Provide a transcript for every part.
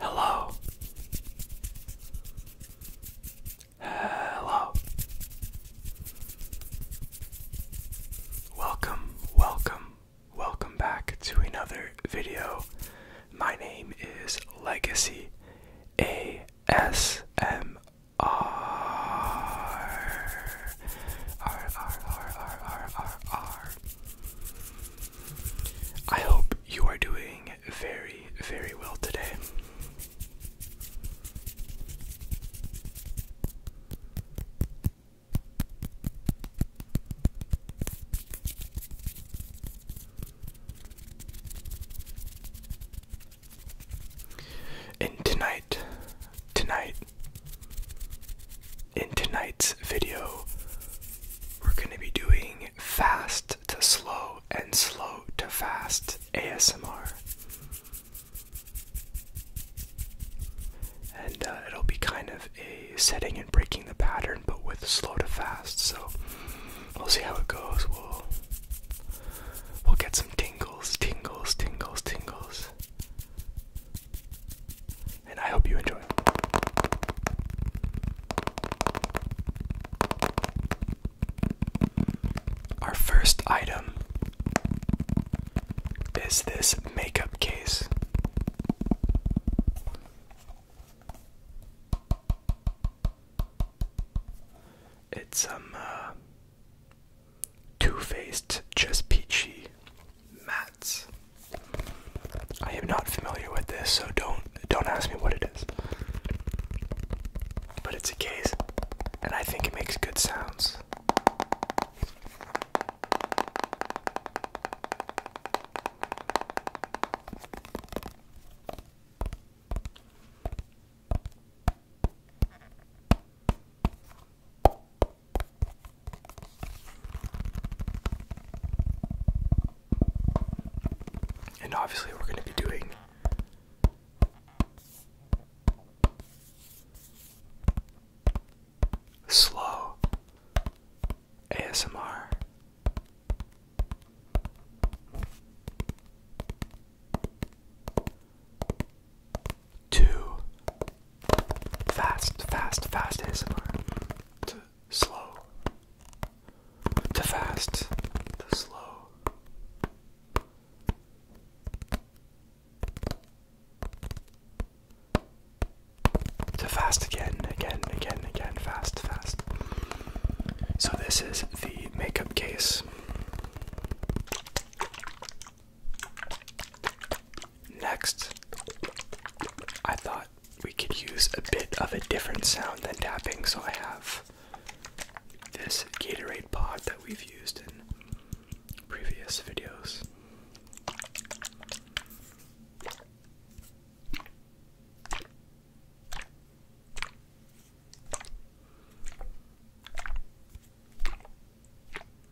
Hello. Hello. Welcome, welcome, welcome back to another video. My name is Legacy ASMR. I hope you are doing very, very well today. And tonight, tonight, in tonight's video, we're going to be doing fast to slow and slow to fast ASMR. And uh, it'll be kind of a setting and breaking the pattern, but with slow to fast. So we'll see how it goes. We'll we'll get some tingles, tingles, tingles, tingles and I hope you enjoy. Our first item is this makeup case. It's some um, uh, Too Faced Just Peachy mats. I am not familiar with this, so don't don't ask me what it is. But it's a case, and I think it makes good sounds. And obviously, we're going to be doing slow ASMR. Two Fast, fast, fast ASMR. To slow. To fast. To slow. To fast again, again, again, again, fast, fast. So, this is the makeup case. Next, I thought we could use a bit of a different sound than tapping, so I have this Gatorade pod that we've used in previous videos.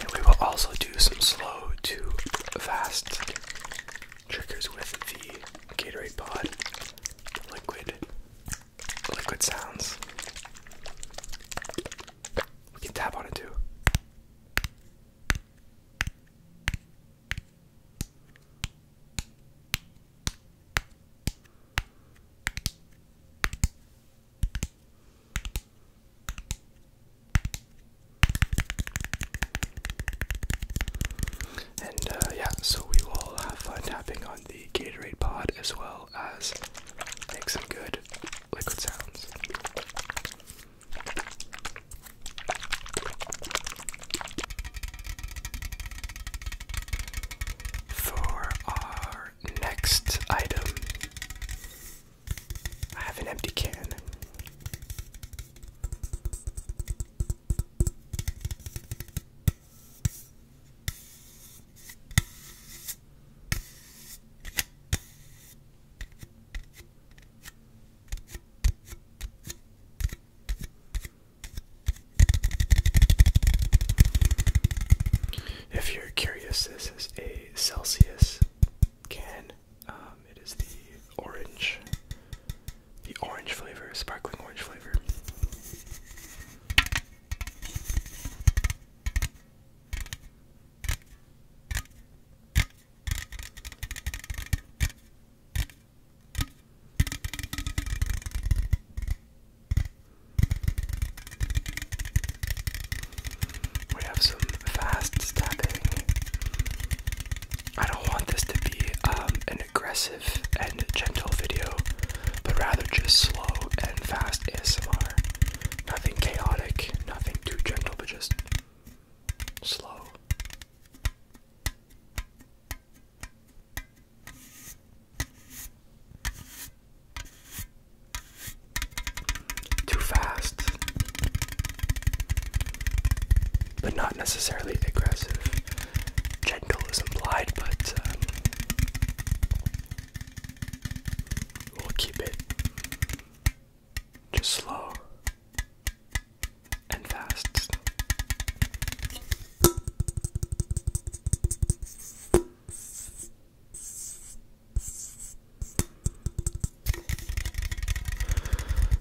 And we will also do some slow to fast triggers with the Gatorade Pod liquid liquid sounds. We can tap on it too. And uh, yeah, so we will have fun tapping on the Gatorade pod as well as make some good liquid sounds. For our next item, I have an empty can. If you're curious, this is a Celsius can. Um, it is the orange, the orange flavor, sparkling orange flavor. We have some fast stabbing. I don't want this to be um, an aggressive and gentle video, but rather just slow and fast ASMR. Nothing chaotic, nothing too gentle, but just slow. Too fast, but not necessarily aggressive. Gentle is implied, but um, we'll keep it just slow and fast.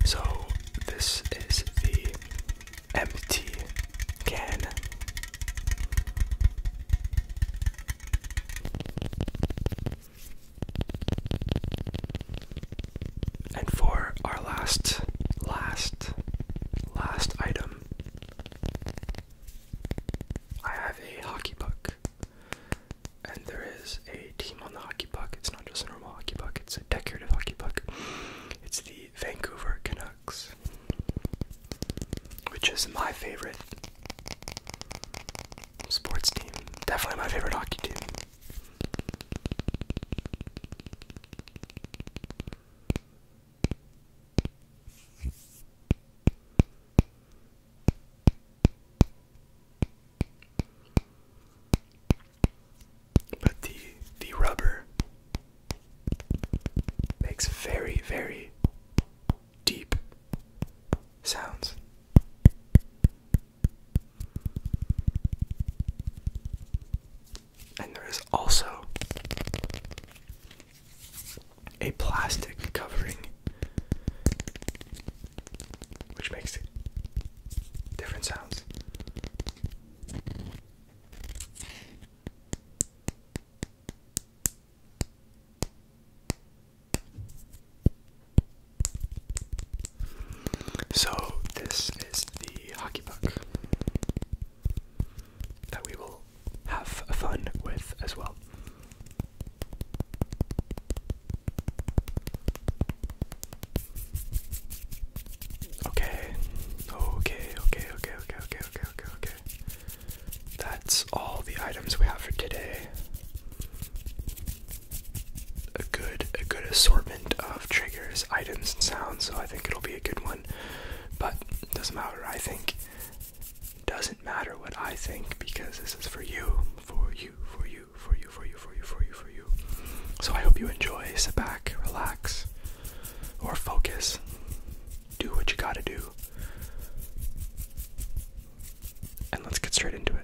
So, this is the empty can. And for our last, last, last item, I have a hockey puck and there is a team on the hockey puck. It's not just a normal hockey puck, it's a decorative hockey puck. It's the Vancouver Canucks, which is my favorite sports team. Definitely my favorite hockey team. But the the rubber makes very very deep sounds. And there is also a plastic covering, which makes different sounds. So, this is the hockey puck that we will have fun with as well. Okay. Okay, okay, okay, okay, okay, okay, okay, That's all the items we have for today. A good a good assortment of triggers, items and sounds, so I think it'll be a good one. But doesn't matter, I think doesn't matter what I think because this is for you, for you, for you, for you, for you, for you, for you, for you. So I hope you enjoy. Sit back, relax, or focus. Do what you gotta do. And let's get straight into it.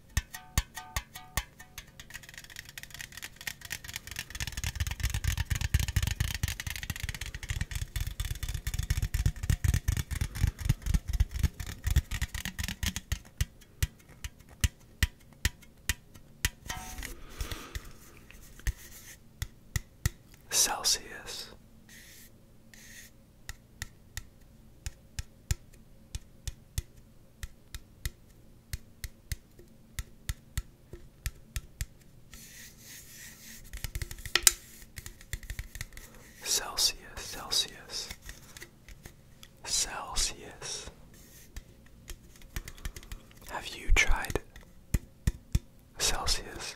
Celsius Celsius, Celsius, Celsius. Have you tried Celsius?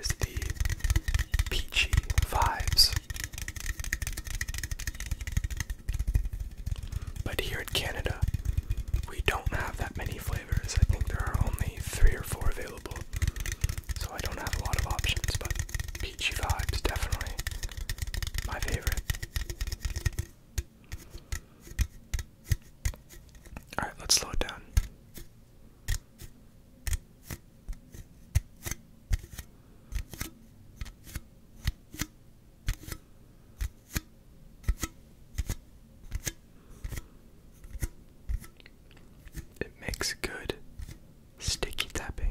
is the peachy vibes. But here in Canada, we don't have that many flavors. I think there are only three or four available. So I don't have a lot of options, but peachy vibes definitely my favorite. Alright, let's slow it down. It makes good sticky tapping.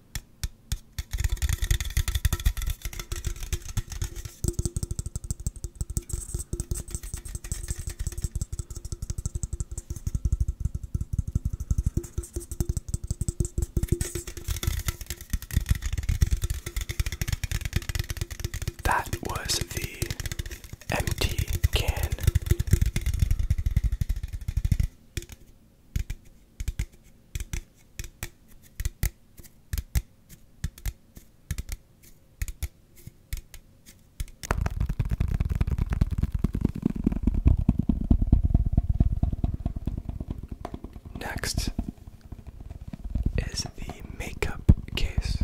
That was the empty can. Next is the makeup case.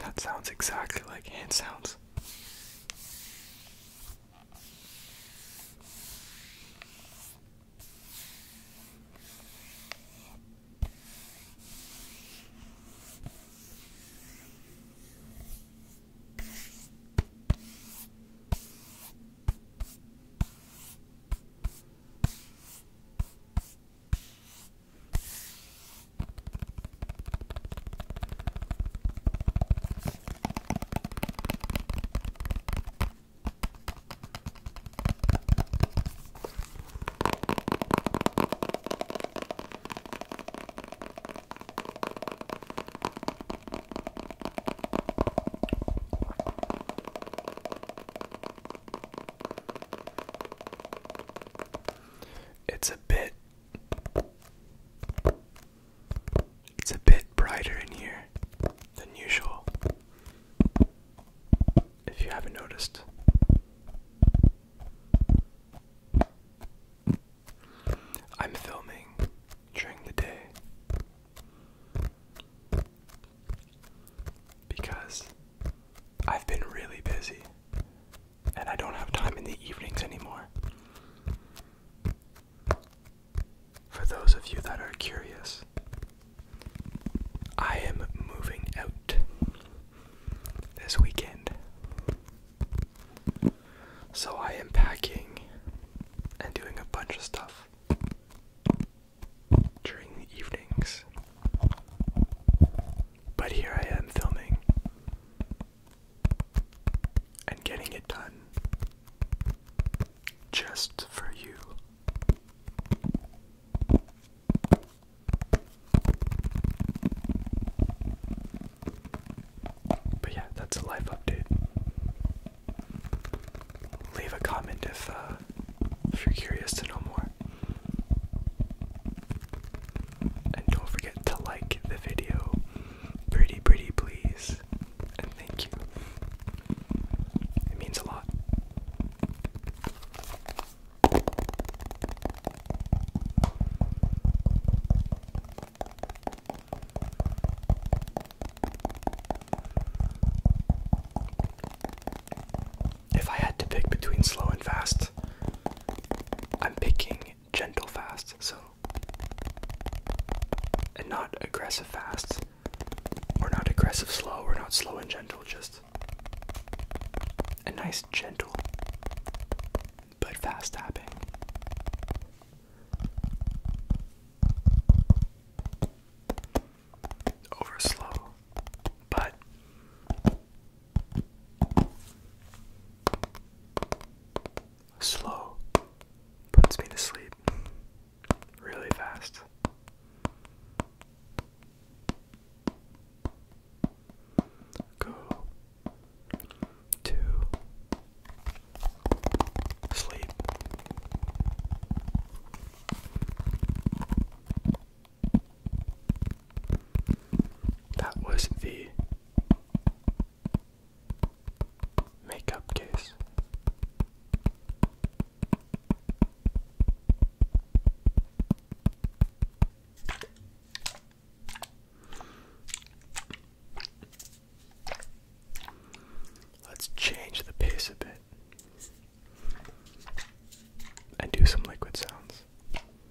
That sounds exactly like it sounds. It's a bit it's a bit brighter in here than usual, if you haven't noticed. I'm filming during the day because I've been really busy and I don't have time in the evenings anymore. For those of you that are curious, I am moving out this weekend. So I am packing and doing a bunch of stuff during the evenings. But here I am filming and getting it done just for you. But yeah, that's a life update. Leave a comment if uh, if you're curious to know more. And don't forget to like the video. Pretty, pretty, please. And thank you. It means a lot. If I had to pick between slow and fast, I'm picking gentle fast, so and not aggressive fast. We're not aggressive slow, We're not slow and gentle, just a nice gentle but fast tapping. Over slow, but Slow puts me to sleep really fast. Go to sleep. That was the makeup case. Let's change the pace a bit and do some liquid sounds.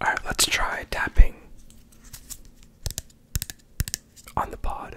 All right, let's try tapping on the pod.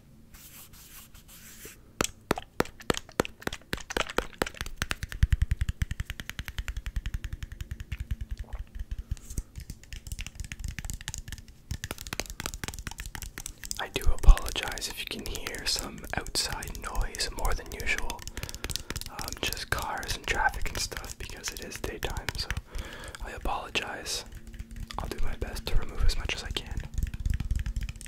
I do apologize if you can hear some outside noise more than usual. Um, just cars and traffic and stuff because it is daytime, so I apologize. I'll do my best to remove as much as I can.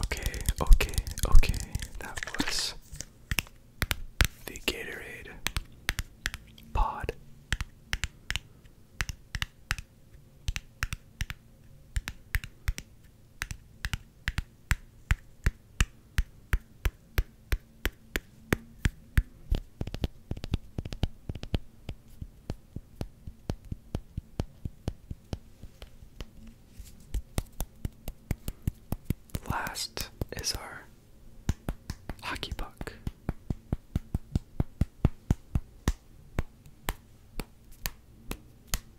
Okay, okay, okay. That was the Gatorade pod. Last is our hockey puck.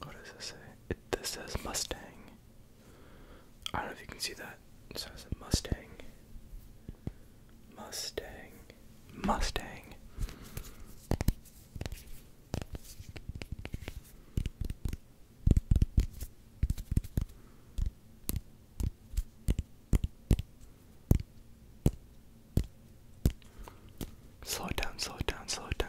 What does this say? It, says Mustang. I don't know if you can see that. It says a Mustang. Mustang. Mustang. Slow it down, slow it down, slow it down.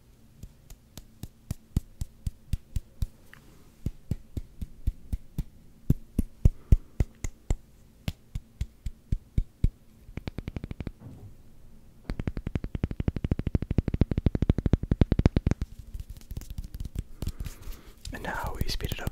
And now we speed it up.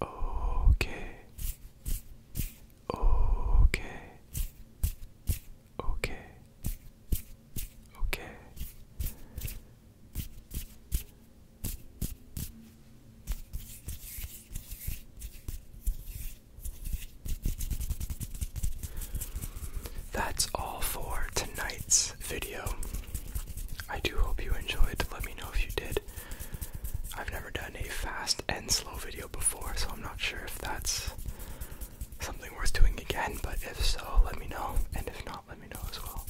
Okay. Okay. Okay. Okay. That's all for tonight's video. I do hope you enjoyed. Let me know if you did. I've never done a fast and slow video before, so I'm not sure if that's something worth doing again, but if so, let me know. And if not, let me know as well.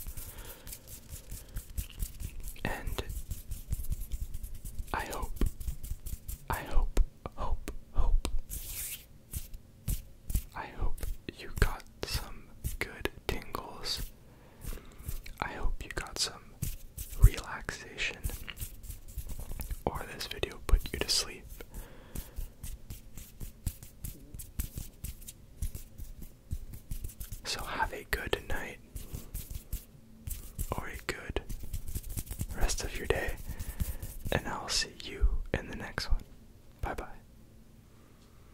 And I hope, I hope, hope, hope, I hope you got some good tingles I hope you got some relaxation or this video put you to sleep. So have a good night or a good rest of your day, and I'll see you in the next one. Bye bye.